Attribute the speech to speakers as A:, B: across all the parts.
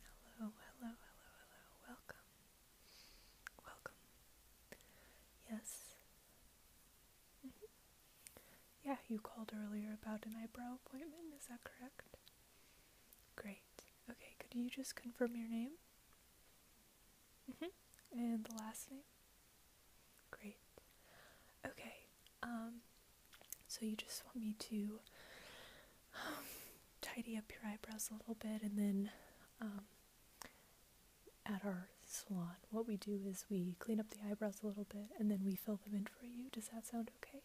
A: Hello, hello, hello, hello. Welcome. Welcome. Yes. Mm-hmm. Yeah, you called earlier about an eyebrow appointment, is that correct? Great. Okay, could you just confirm your name? -hmm. And the last name? Great. Okay, um, so you just want me to um, tidy up your eyebrows a little bit and then um, at our salon, what we do is we clean up the eyebrows a little bit and then we fill them in for you. Does that sound okay?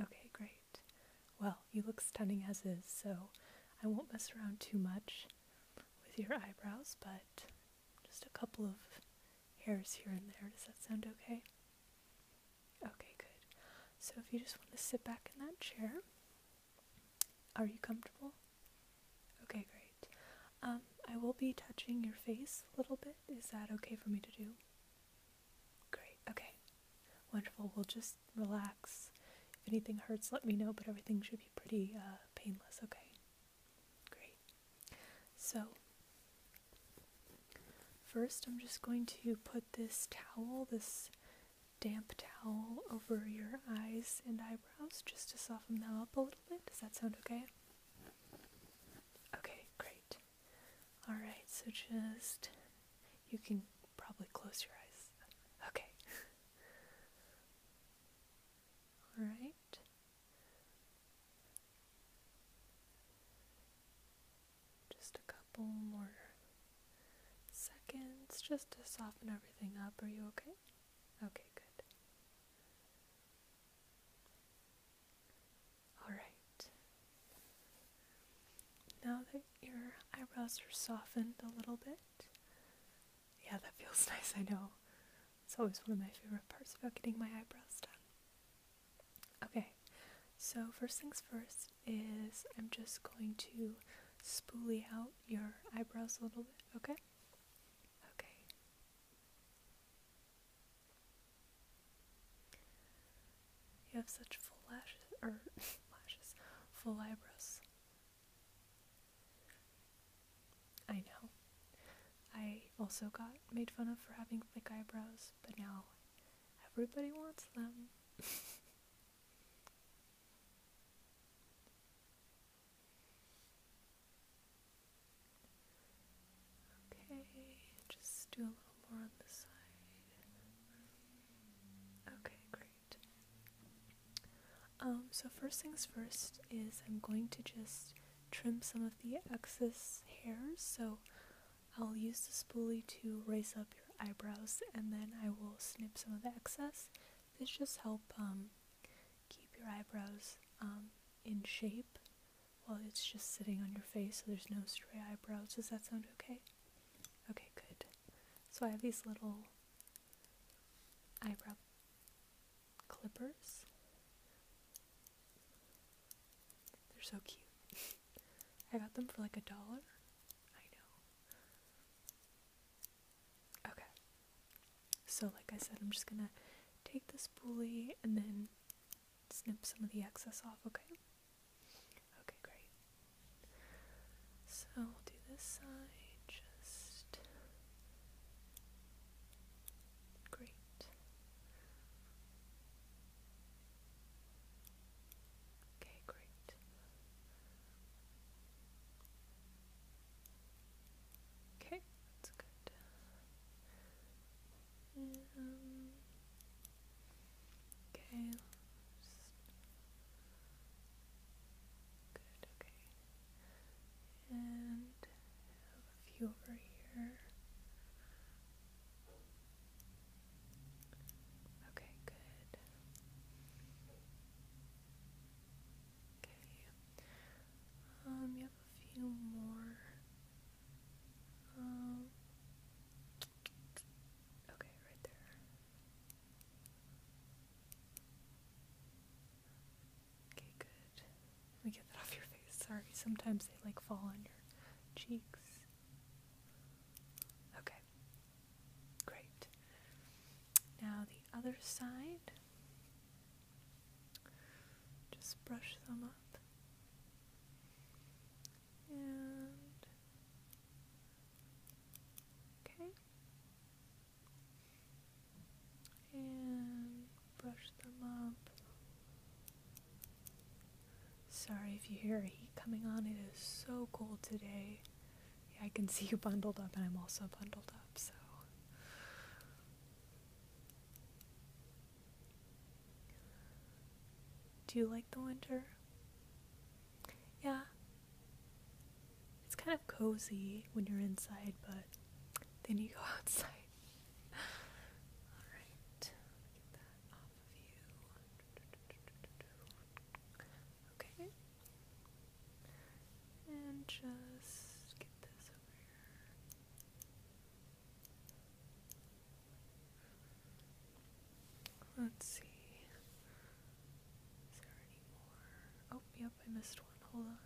A: Okay, great. Well, you look stunning as is, so I won't mess around too much with your eyebrows, but just a couple of hairs here and there. Does that sound okay? Okay, good. So if you just want to sit back in that chair, are you comfortable? Okay, great. Um, I will be touching your face a little bit. Is that okay for me to do? Great, okay. Wonderful. We'll just relax. If anything hurts, let me know, but everything should be pretty uh, painless, okay? Great. So, first I'm just going to put this towel, this damp towel, over your eyes and eyebrows just to soften them up a little bit. Does that sound okay? Okay, great. Alright, so just. You can probably close your eyes. Okay. Alright. Just a couple more seconds just to soften everything up. Are you okay? Okay, good. Alright. Now that your eyebrows are softened a little bit, yeah, that feels nice, I know. It's always one of my favorite parts about getting my eyebrows done. Okay, so first things first is I'm just going to spoolie out your eyebrows a little bit, okay? Okay. You have such full lashes, or lashes, full eyebrows. I know. I also got made fun of for having thick eyebrows, but now everybody wants them. okay, just do a little more on this side. Okay, great. Um, so first things first is I'm going to just trim some of the excess hairs. So I'll use the spoolie to raise up your eyebrows and then I will snip some of the excess. This just help um, keep your eyebrows um, in shape while it's just sitting on your face so there's no stray eyebrows. Does that sound okay? Okay, good. So I have these little eyebrow clippers. They're so cute. I got them for like a dollar. I know. Okay. So like I said, I'm just gonna take the spoolie and then snip some of the excess off, okay? Okay, great. So we'll do this side just Great. Okay, great. Okay, that's good. Um, okay. Good, okay and a few over here. Okay, good. Okay. Um, you have a few more. Um, okay, right there. Okay, good. Let me get that off your face. Sorry, sometimes they like fall on your cheeks. Okay, great. Now the other side. Just brush them up. And. Okay and brush them up. Sorry if you hear a heat coming on, it is so cold today. Yeah, I can see you bundled up, and I'm also bundled up, so. Do you like the winter? Yeah, it's kind of cozy when you're inside, but then you go outside. Alright, Okay. And just get this over here. Let's see. Is there any more? Oh, yeah, I missed one. Hold on.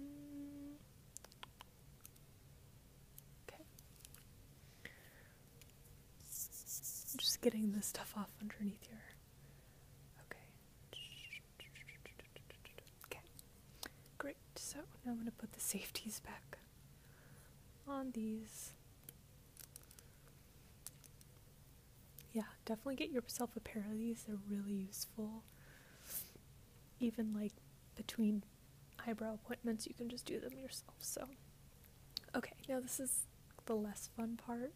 A: Mm, okay. just getting this stuff off underneath here. Okay. Okay. Great. So now I'm going to put the safeties back on these yeah, definitely get yourself a pair of these. They're really useful. Even like between eyebrow appointments, you can just do them yourself. So, okay, now this is the less fun part,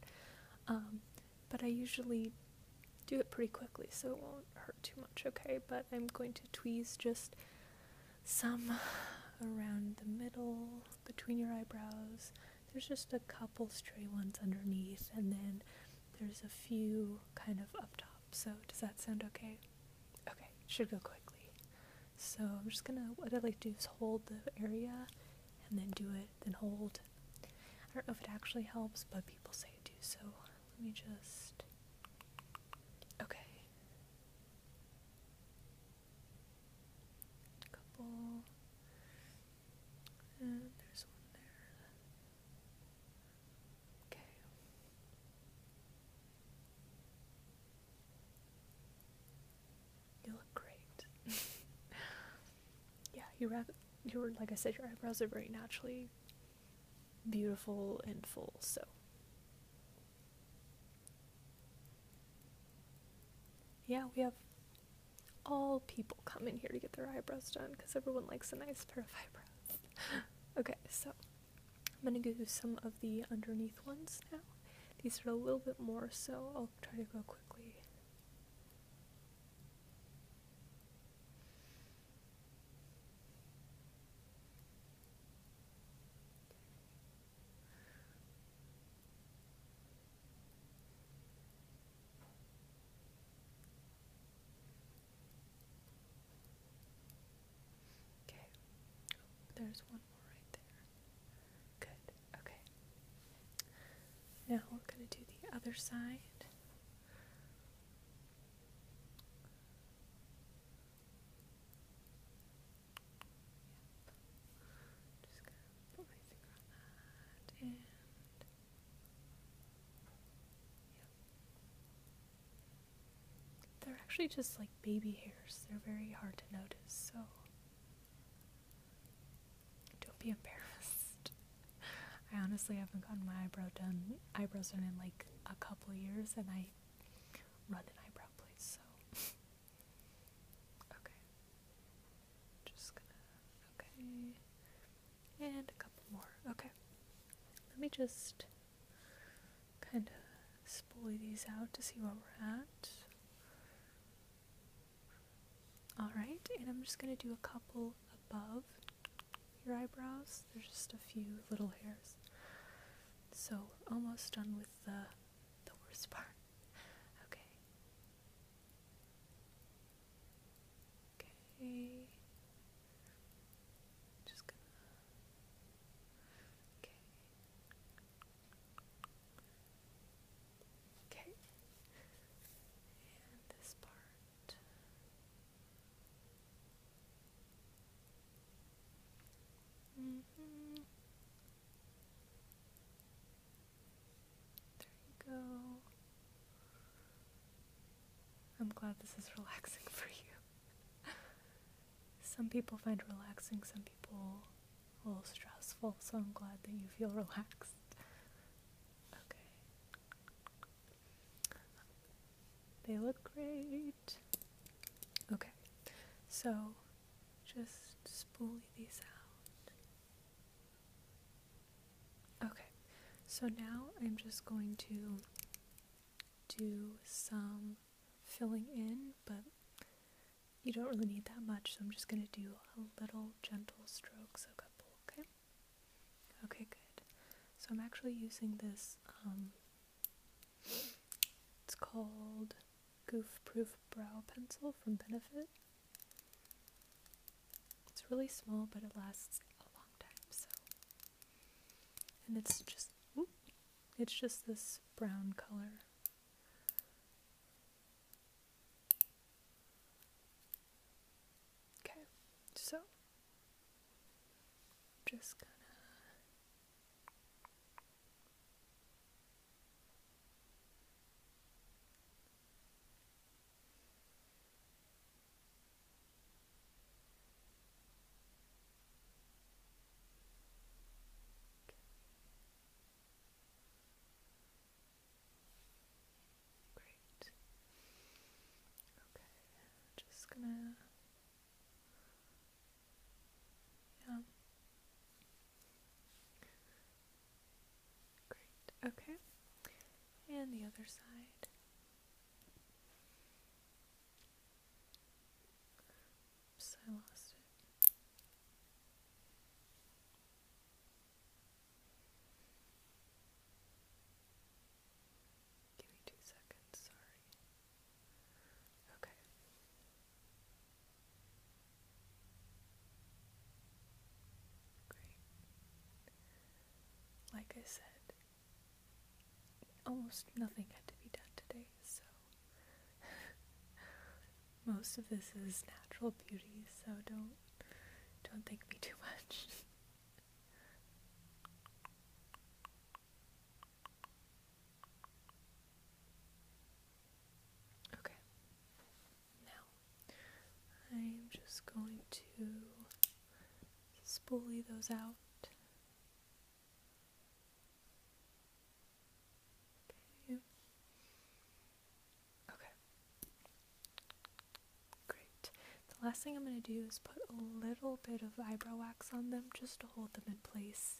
A: um, but I usually do it pretty quickly so it won't hurt too much, okay? But I'm going to tweeze just some around the middle between your eyebrows there's just a couple stray ones underneath, and then there's a few kind of up top. So, does that sound okay? Okay, should go quickly. So, I'm just gonna, what I like to do is hold the area and then do it, then hold. I don't know if it actually helps, but people say it do, so let me just. Okay a couple, and there's one there. Okay. You look great. yeah, you you like I said, your eyebrows are very naturally beautiful and full, so yeah, we have all people come in here to get their eyebrows done because everyone likes a nice pair of eyebrows. okay, so I'm gonna go do some of the underneath ones now. These are a little bit more, so I'll try to go quickly. Okay. there's one more right there. Good. Okay. Now we're going to do the other side. They're actually just like baby hairs. They're very hard to notice, so don't be embarrassed. I honestly haven't gotten my eyebrow done eyebrows done in like a couple years and I run an eyebrow place, so Okay. Just gonna. Okay. And a couple more. Okay. Let me just kind of spool these out to see where we're at. Alright, and I'm just gonna do a couple above your eyebrows. There's just a few little hairs. So almost done with the the worst part. Okay. Okay. Just gonna. Okay. Okay. And this part. Mm -hmm. There you go. I'm glad this is relaxing for you. some people find relaxing, some people a little stressful, so I'm glad that you feel relaxed. Okay. They look great. Okay, so just spoolie these out. Okay, so now I'm just going to do some filling in, but you don't really need that much, so I'm just going to do a little gentle strokes, a couple, okay? Okay, good. So I'm actually using this, um, it's called Goof Proof Brow Pencil from Benefit. It's really small, but it lasts a long time, so. And it's just, it's just this brown color. Okay, so just gonna Great. Okay, just gonna Okay. And the other side. Oops, I lost it. Give me two seconds, sorry. Okay. Great. Like I said, almost nothing had to be done today, so most of this is natural beauty, so don't don't thank me too much. Okay. Now, I'm just going to spoolie those out. Okay. Okay. Great. The last thing I'm going to do is put a little bit of eyebrow wax on them just hold them in place.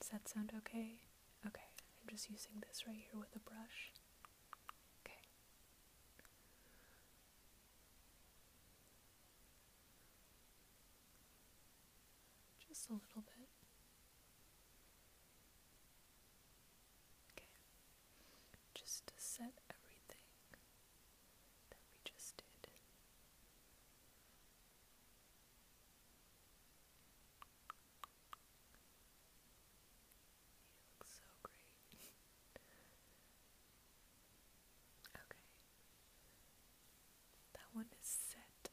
A: Does that sound okay? Okay, I'm just using this right here with a brush. Okay. Just a little bit. Okay. Just to set everything that we just did. You look so great. okay. That one is set. Okay.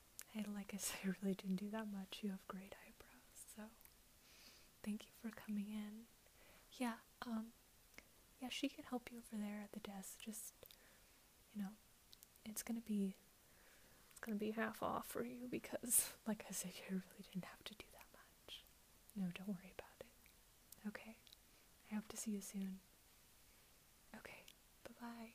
A: Hey, like I said, I really didn't do that much. You have great eyebrows, so thank you for coming in. Yeah, um, yeah, she can help you over there at the desk. Just, you know, it's gonna be, it's gonna be half off for you because, like I said, you really didn't have to do that much. No, don't worry about it. Okay, I hope to see you soon. Okay, bye bye.